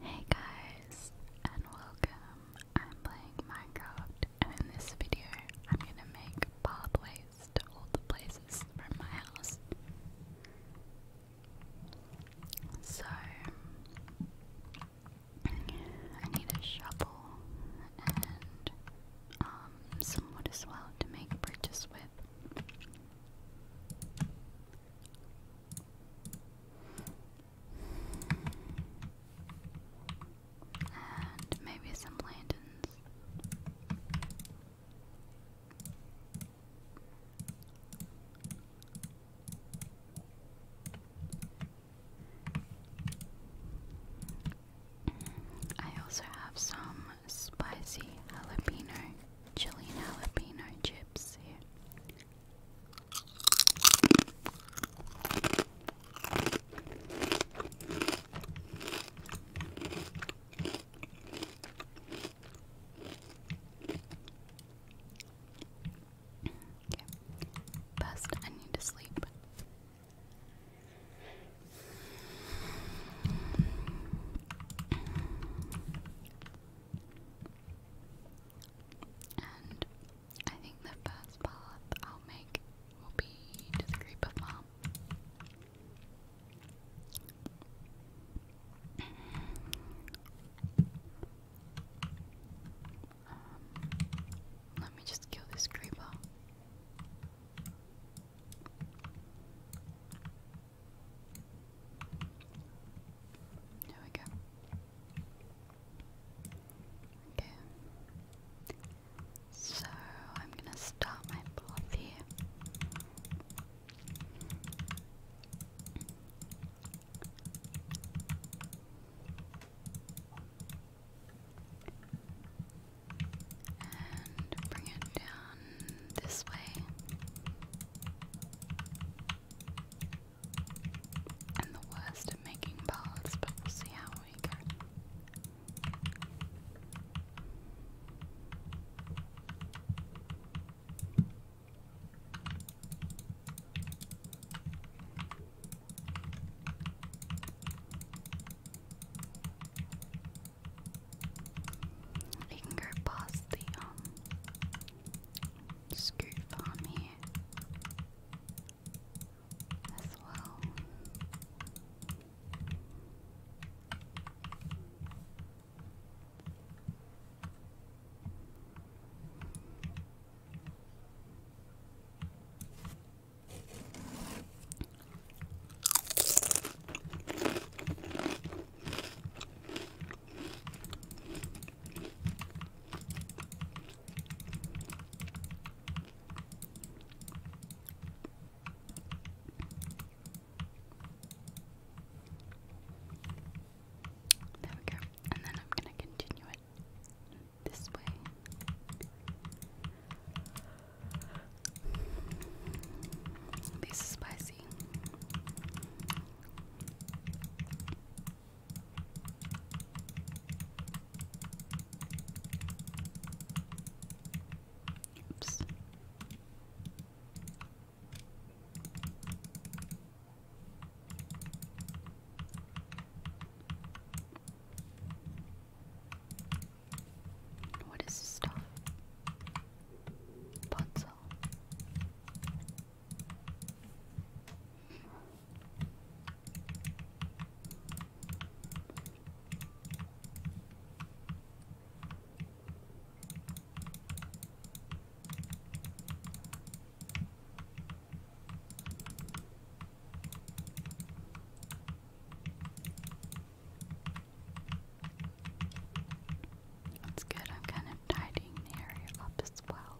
Hey guys, and welcome. I'm playing Minecraft, and in this video, I'm gonna make pathways to all the places from my house. So, I need a shovel and um, some wood as well to make bridges with. And maybe some lanterns. I also have some spicy jalapeno, chili jalapeno chips here. Best, I need to sleep. And I think the first path I'll make will be to the group of mom. Um, let me just kill this creeper. There we go. Okay. So I'm gonna start my plot here. And bring it down this way. And the worst at making paths, but we'll see how we go. You can go past the um, scoot farm here as well. There we go. And then I'm going to continue it this way. This is spicy. Oops. What is this stuff? Puzzle. That's good. I'm kind of tidying the area up as well.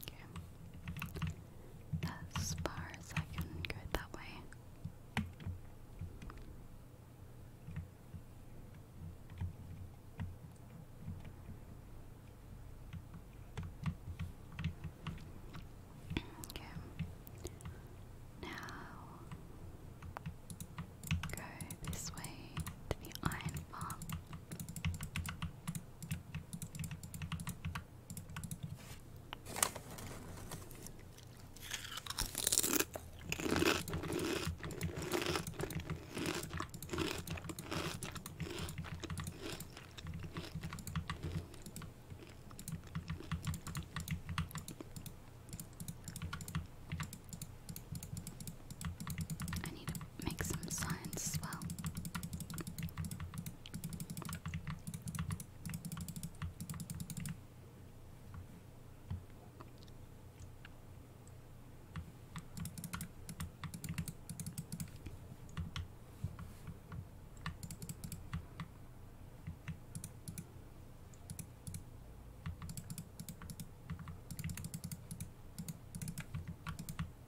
Okay. As far as I can go that way. Now go this way to the iron farm. I need a make some signs as well.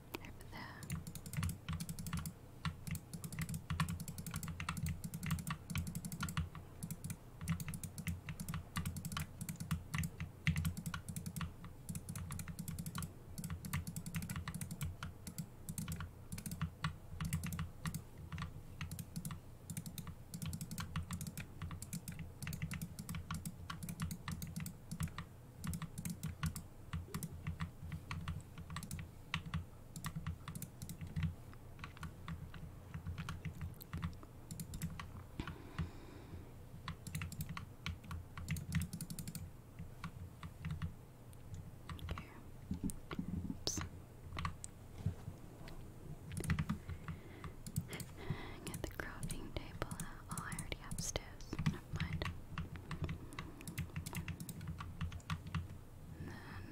Over there. Oops. Get the crafting table out. Oh, I already have then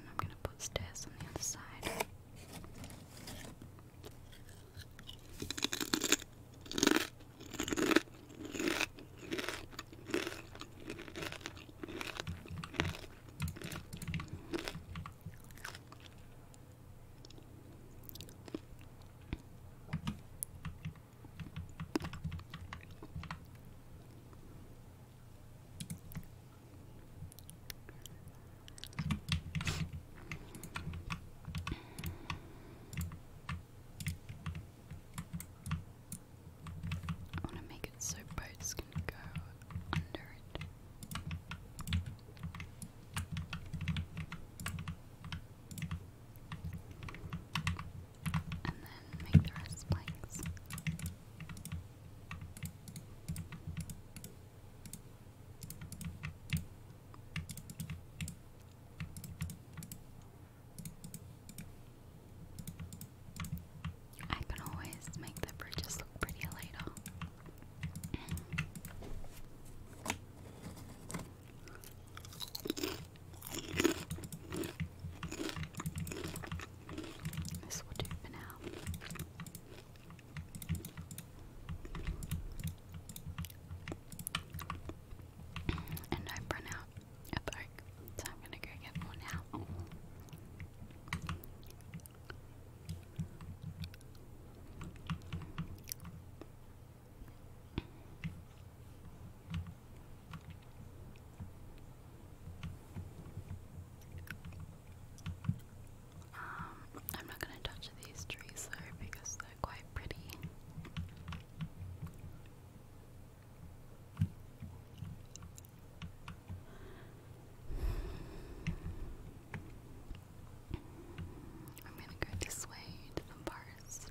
I'm gonna put stairs on the other side. I want to make it so boats can go under it and then make the rest blanks. I can always make the bridges look prettier later. This will do for now. And i run out of bark, so I'm gonna go get more now. Um, I'm not gonna touch these trees though because they're quite pretty. I'm gonna go this way to the forest.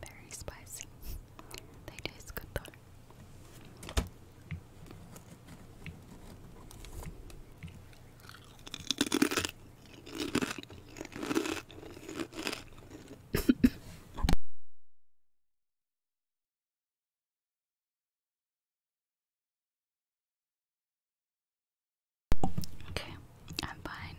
Very spicy. They taste good though. Okay, I'm fine.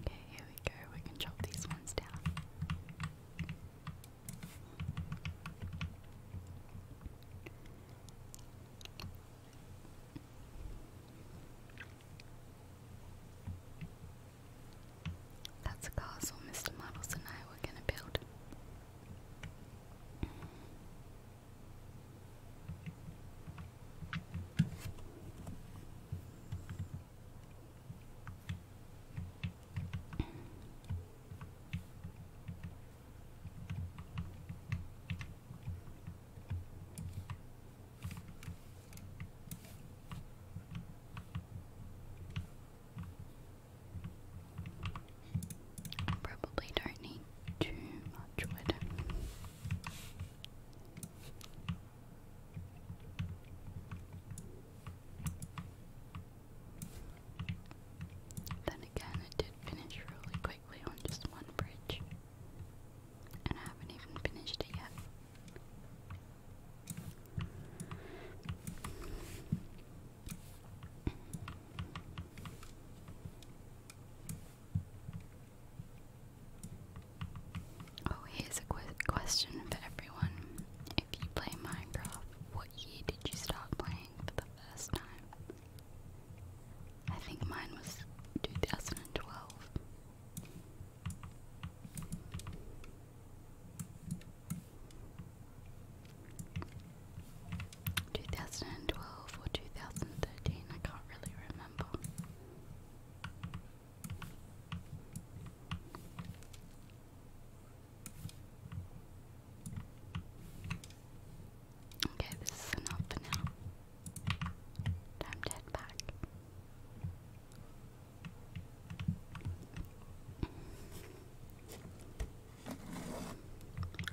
Okay, here we go. We can chop these ones down. That's a castle Mr. Models and I were going to build. I probably don't need too much wood. Then again, it did finish really quickly on just one bridge, and I haven't even finished it yet. Oh, here's a qu question for everyone. If you play Minecraft, what year did you start playing for the first time? I think mine was 2012. 2012 or 2013, I can't really remember. Okay, this is enough for now. Time to head back.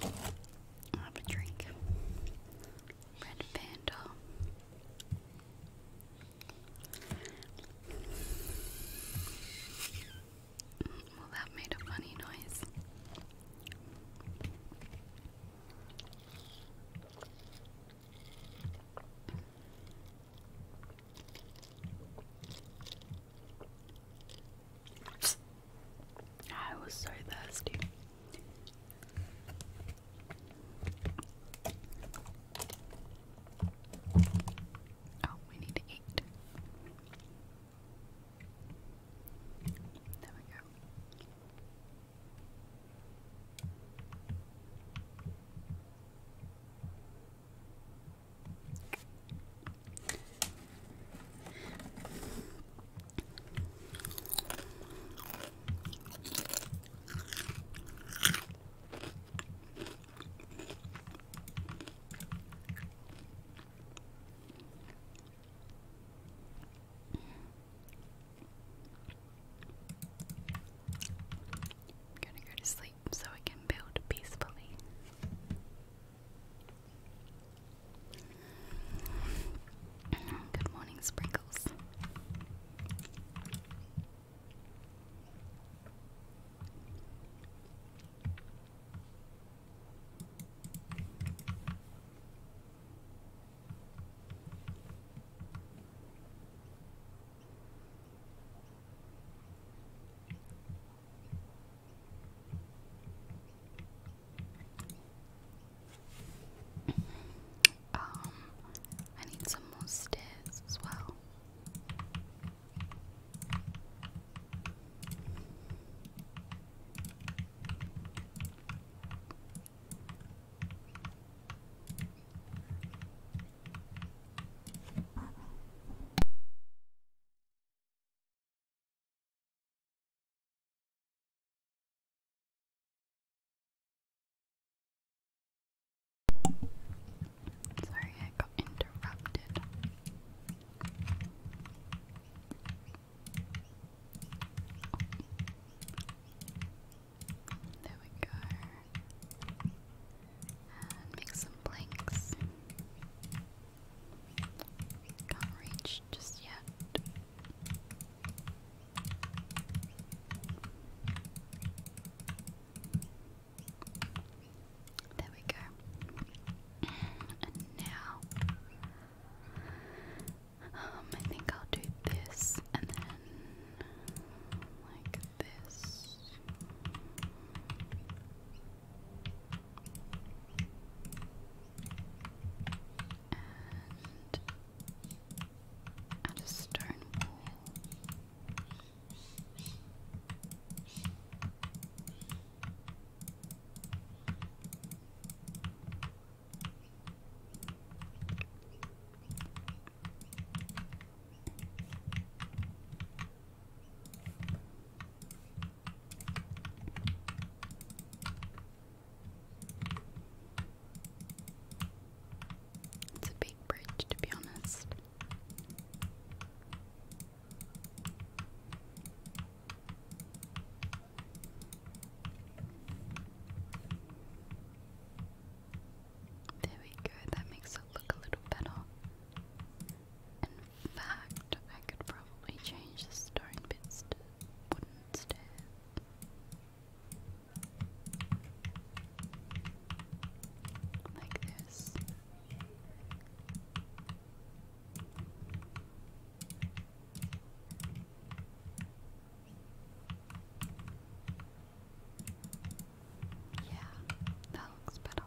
I'll have a drink. Red panda. Well, that made a funny noise. I was so thirsty. Oh, we need to eat. There we go. I'm gonna go to sleep so I can build peacefully. Good morning, Sprinkles. Um, I need some more stairs as well. Sorry, I got interrupted. Oh. There we go. make some blanks. Can't reach just yet. There we go. And now, um, I think I'll do this and then like this. And I a stone wall. It's a big bridge, to be honest. There we that makes it look a little better. In fact, I could probably change the stone bits to wooden stairs like this. Yeah, that looks better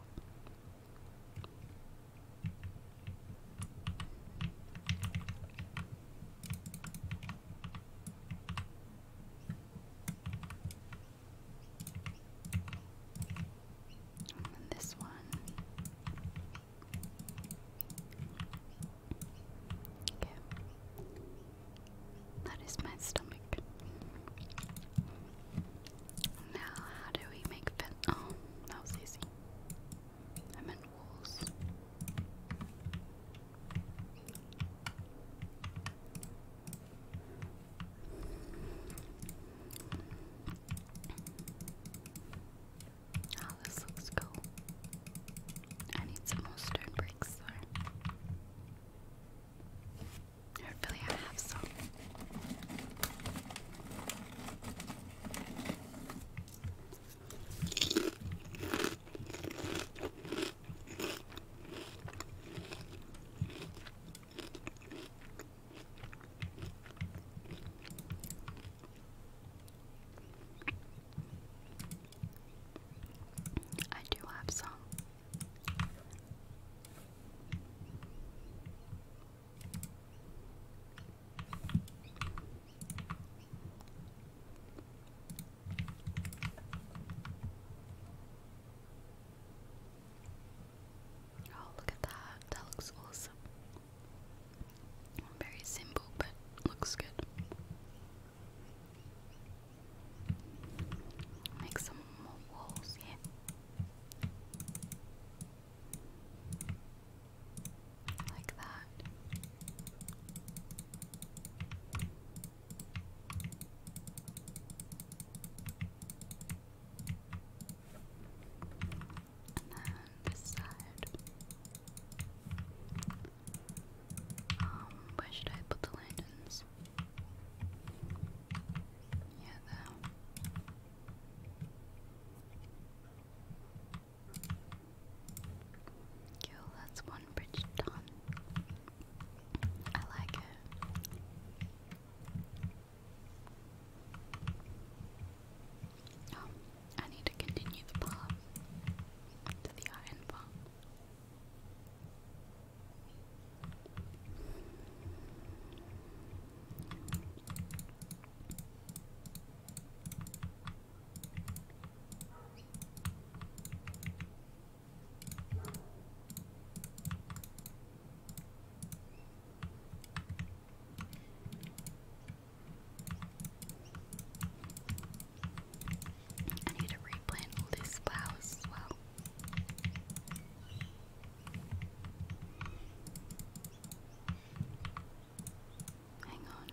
this one. Okay. That is my stomach. Now, how do we make Oh, that was easy. Oh, this looks cool. I need some more stone bricks though. Hopefully I have some. I do have some. Oh, look at that. That looks awesome. Very simple, but looks good. Make some more walls here. Like that. And then this side. Um, where should I put the lanterns? Yeah, there. Yo, that's one bridge done. I like it. Oh, I need to continue the path to the iron farm. I need to replant all these flowers well. Hang on.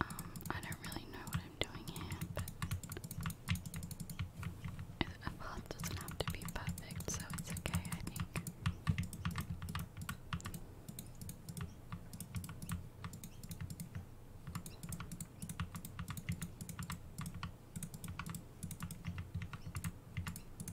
Um, I don't really know what I'm doing here, but a doesn't have to be perfect, so it's okay, I think.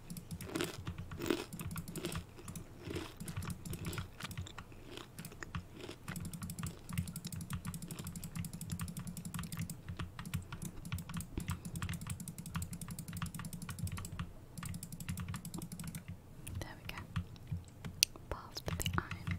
There we go. Past the iron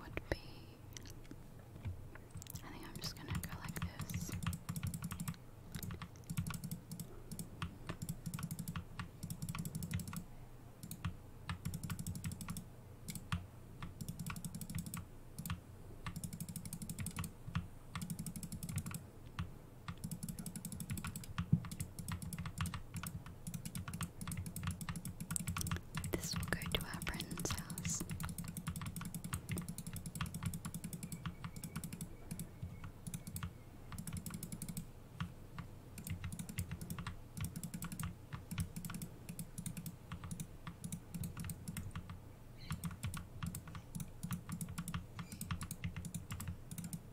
would be. I think I'm just gonna go like this. This will go to our friend's house.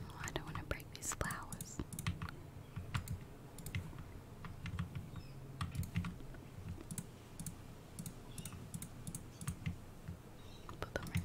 Oh, I don't want to break these flowers. Put them right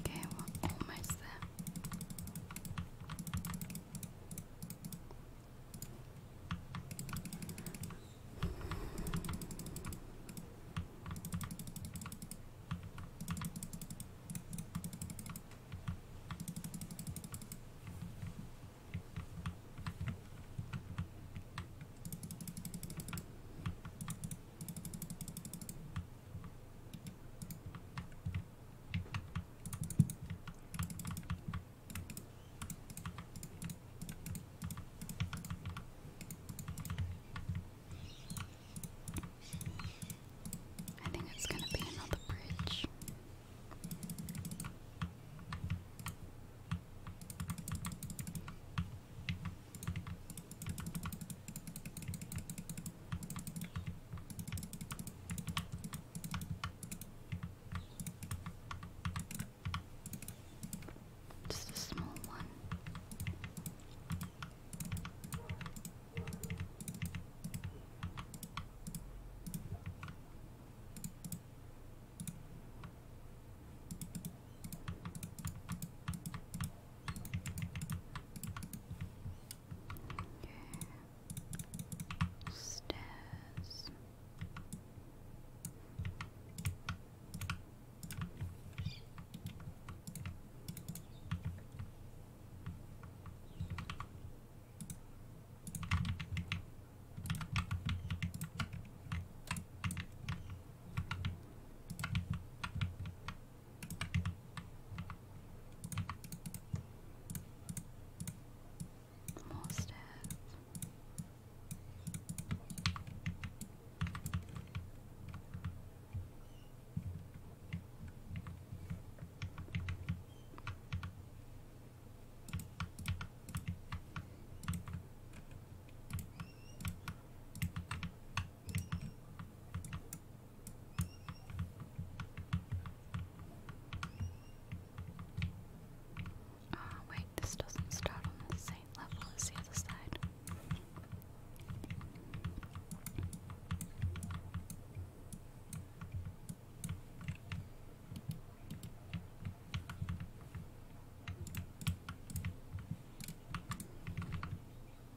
Okay, we're almost there. I think it's going to be another bridge. Just a small one. Stairs. More steps. Oh, wait, this doesn't start on the same level as the other side.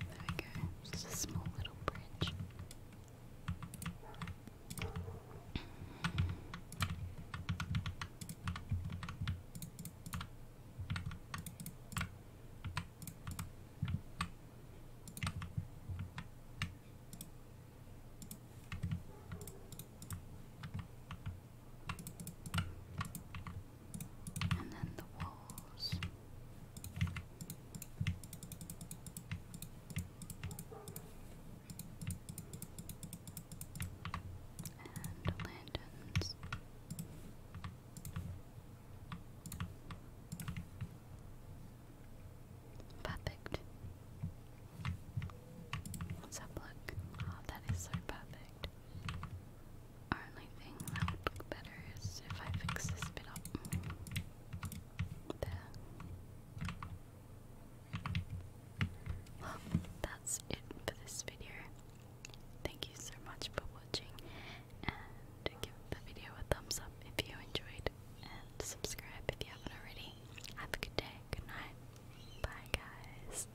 There we go. Just a small little bridge and then the walls. And lanterns. Perfect. Let's look. Oh, that is so perfect only thing that would look better is if I fix this bit up. There. Well, that's it for this video. Thank you so much for watching and give the video a thumbs up if you enjoyed and subscribe if you haven't already. Have a good day, good night. Bye guys.